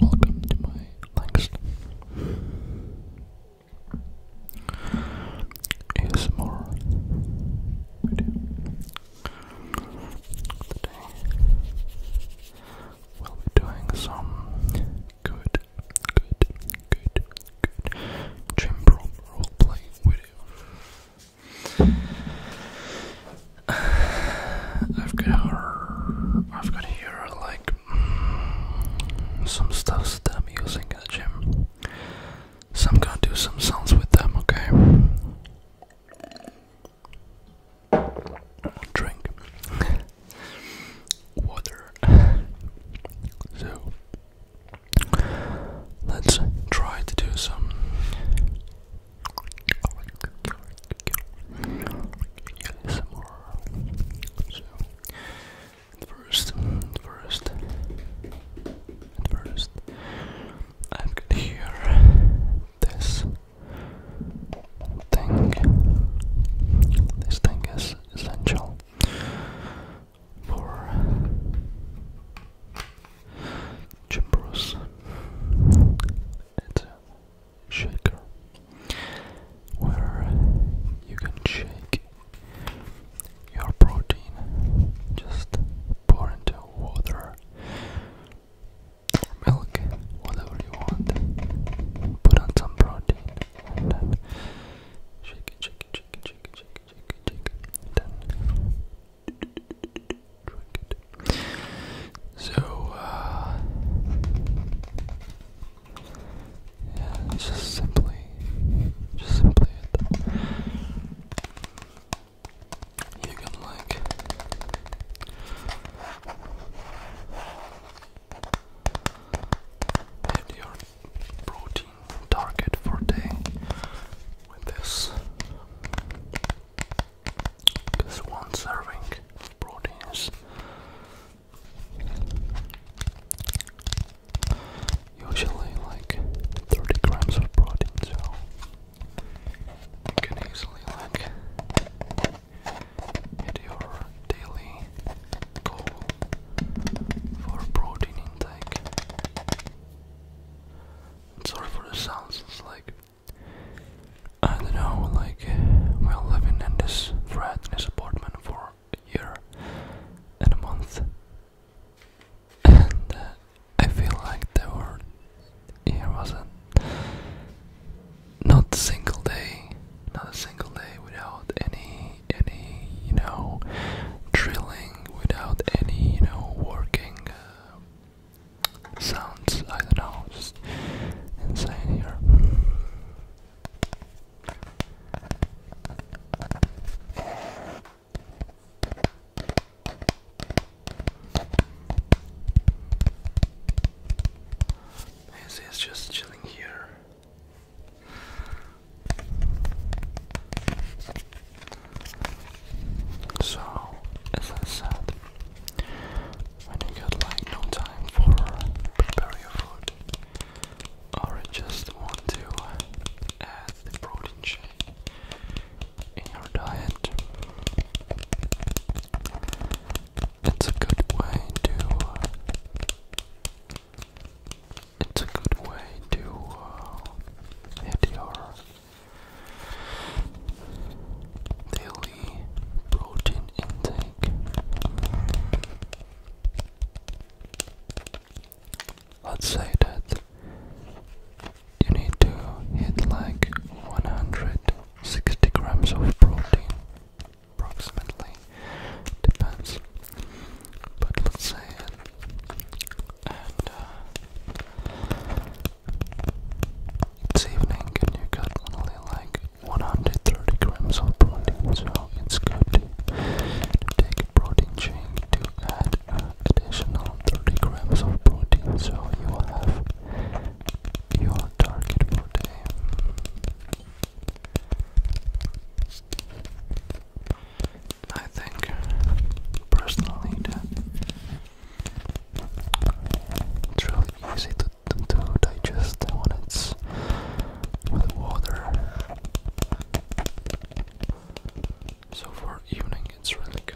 Welcome to my next ASMR video. Today we'll be doing some good, good, good, good gym I've got I've got here like mm, some stuff that I'm using in the gym. So I'm gonna do some sounds with them, okay? Drink water. So let's try to do some first, first, first, am hear this thing. This thing is essential for Jim shaker where you can shake your protein just pour into water or milk whatever you want put on some protein and then shake it shake it shake it shake it shake it shake it, shake it. then so, uh, just simply, just simply You can like. Hit your protein target for day with this. Because one serving of proteins usually like 30 grams of protein, so you can easily like hit your daily goal for protein intake. Sorry for the sounds, it's like I don't know, like, we're living in this flat in this apartment for a year and a month, and uh, I feel like there were here wasn't not a single day, not a single day without any any you know drilling, without any you know working. Uh, sounds, I don't know, insane here. This is just chilling here. So, as I said when you got like no time for prepare your food or you just want to add protein shake in your diet. It's a good way to it's a good way to uh, your Daily protein intake. Let's say that you need to hit like 160 grams of protein, approximately, depends. But let's say it, uh, it's evening and you got only like 130 grams of protein, so it's good to take a protein shake to add uh, additional 30 grams of protein, so you will have your target protein. I think personally it's really easy to, to, digest when it's with water. So for evening, it's really good.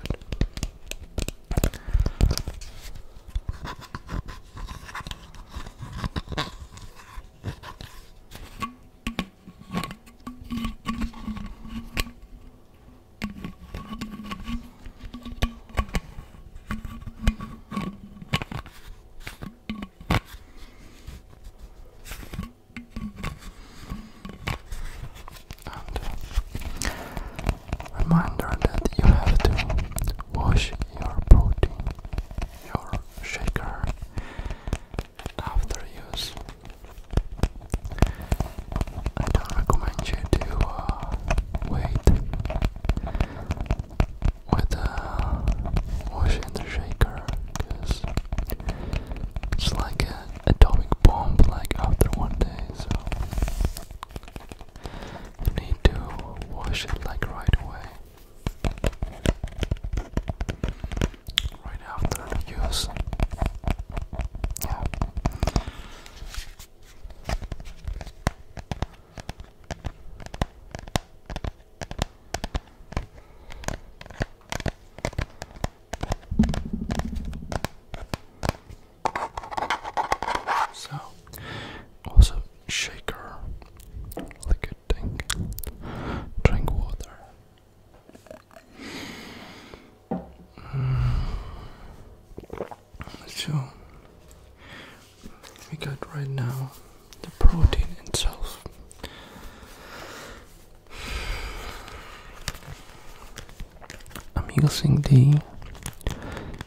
Uh, reminder that you have to wash your protein, your shaker after use. I don't recommend you to uh, wait with uh, washing the shaker because it's like an atomic bomb like after one day so you need to wash it like right away right after use yeah so, also shaker, liquid drink, drink water. Mm. So we got right now the protein itself. I'm using the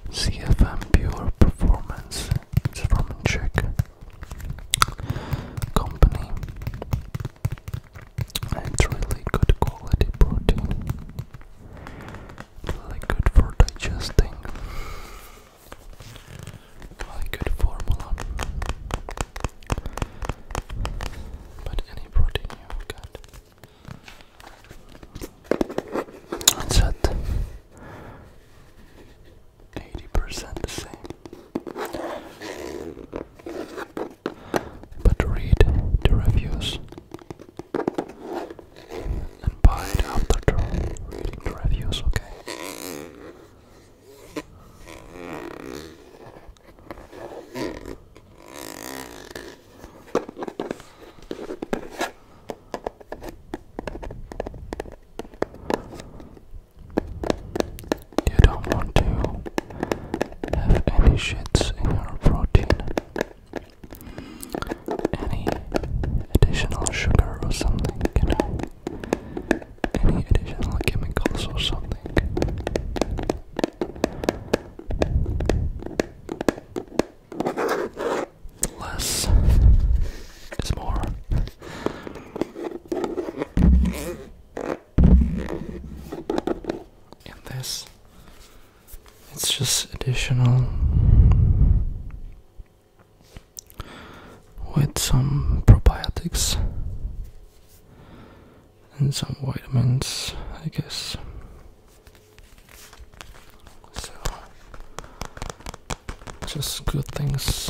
CFM Pure Performance. It's from a Czech company. and It's really good quality protein like good for digesting, like good formula. But any protein you got, it's at eighty percent the same. But read the reviews and buy it after the, the reviews, okay? You don't want to have any shits in your protein any additional sugar or something, you know, any additional chemicals or something. Less is more. In this, it's just additional with some probiotics and some vitamins, I guess. So, just good things.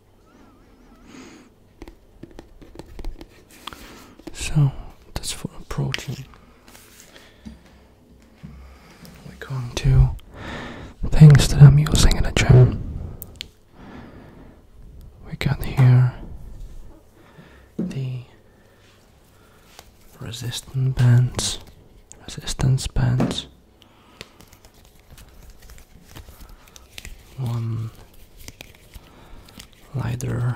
So that's for protein. We're going to things that I'm using in the gym. We got here the resistance bands, resistance bands. One lighter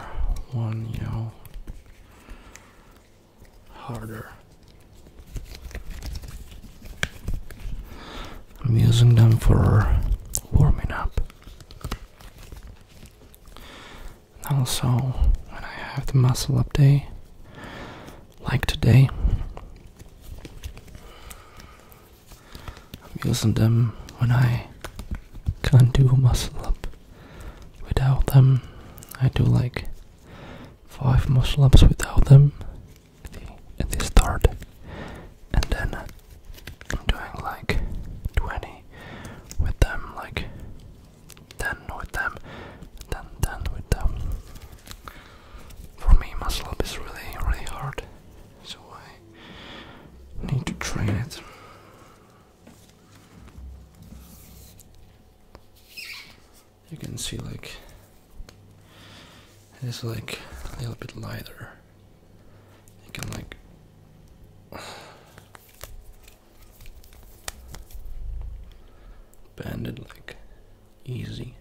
one, you know, harder. I'm using them for warming up. also, when I have the muscle up day, like today, I'm using them when I can't do a muscle up. Without them, I do like five muscle ups without them at the, start, and then I'm doing like 20 with them, like 10 with them, and then 10 with them. For me, muscle up is really, really hard, so I need to train it. You can see like it is like a little bit lighter. You can like bend it like easy.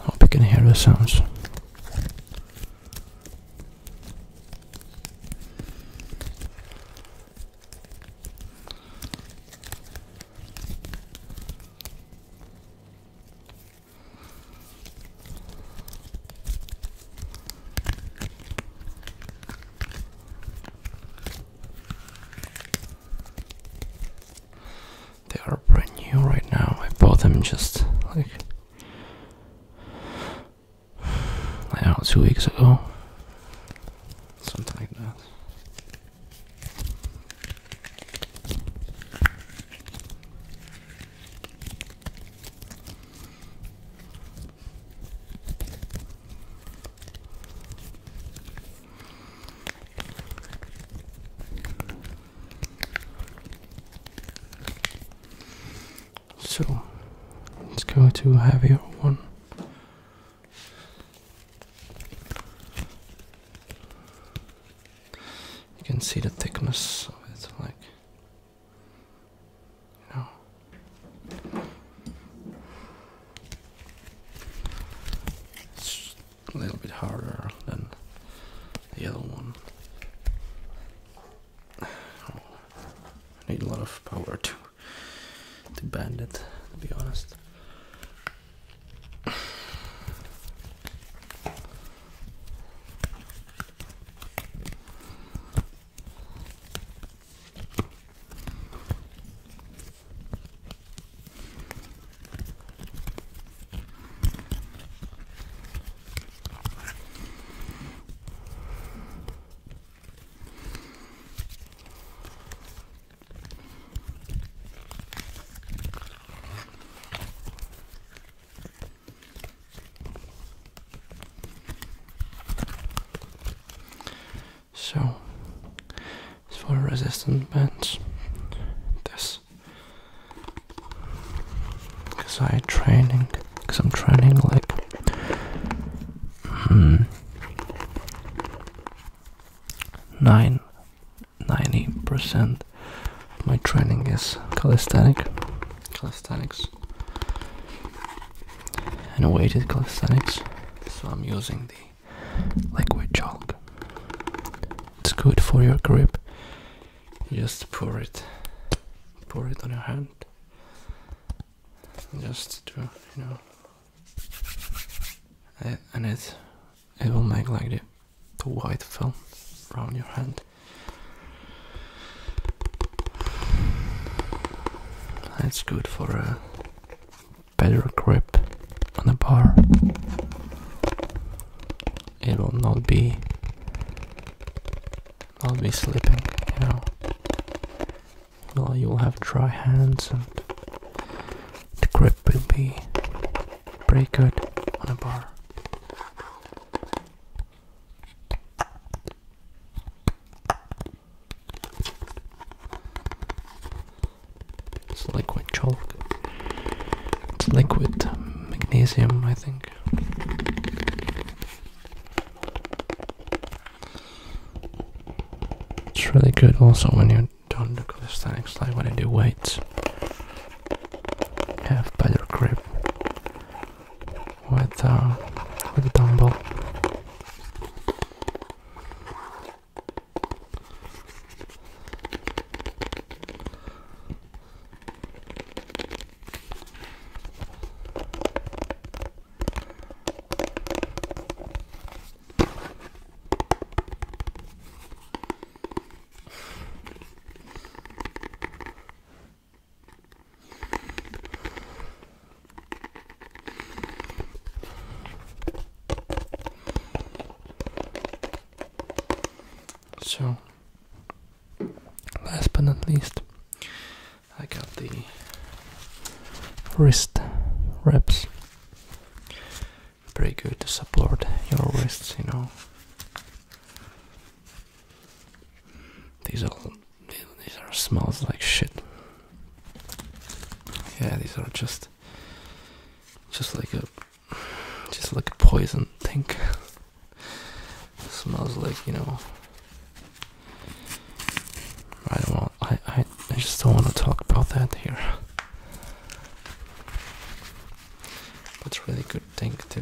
Hope you can hear the sounds. They are brand new right now. I bought them just like I don't know, two weeks ago. Something like that. So let's go to heavier one. You can see the thickness of it, like you know. It's a little bit harder than the other one. Oh. I need a lot of power to to bend it, to be honest. So, as for resistance bands, this because I training, because I'm training like Mm. 90% my training is calisthenic, calisthenics and weighted calisthenics, so I'm using the liquid chalk. It's good for your grip. just pour it, pour it on your hand, just to you know and it it will make like the, the white film around your hand that's good for a better grip on the bar it will not be not be slipping you know well, oh, you'll have dry hands and the grip will be pretty good on a bar. It's liquid chalk. It's liquid magnesium, I think. It's really good also when you're done the calisthenics, like when you do weights. Have better grip with uh, with dumbbell. So, last but not least, I got the wrist wraps. Pretty good to support your wrists, you know. These all these are smells like shit. Yeah, these are just just like a just like a poison thing. smells like, you know, Right, well, I, I, I just don't want to talk about that here. That's really good thing to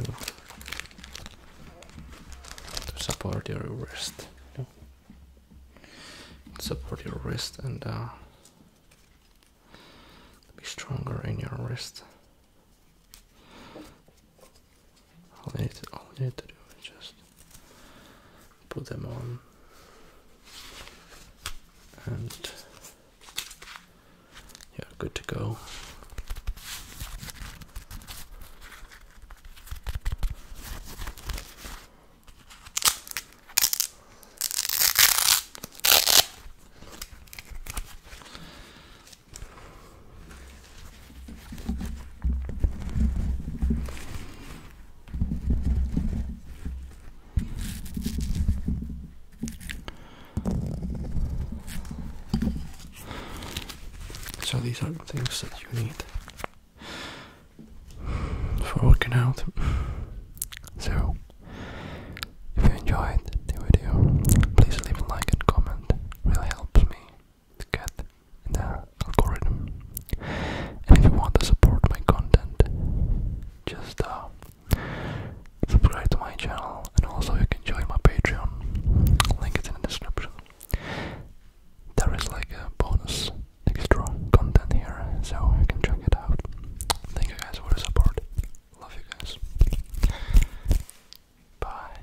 to support your wrist. Support your wrist and uh, be stronger in your wrist. All we need to, do is just put them on and you good to go. So these are the things that you need for working out. So if you enjoyed the video, please leave a like and comment. It really helps me the the algorithm. And if you want to support my content, just uh, subscribe to my channel and also you can join my Patreon. Link is in the description. There is like a bonus extra content here, so you can check it out. Thank you guys for the support. Love you guys. Bye.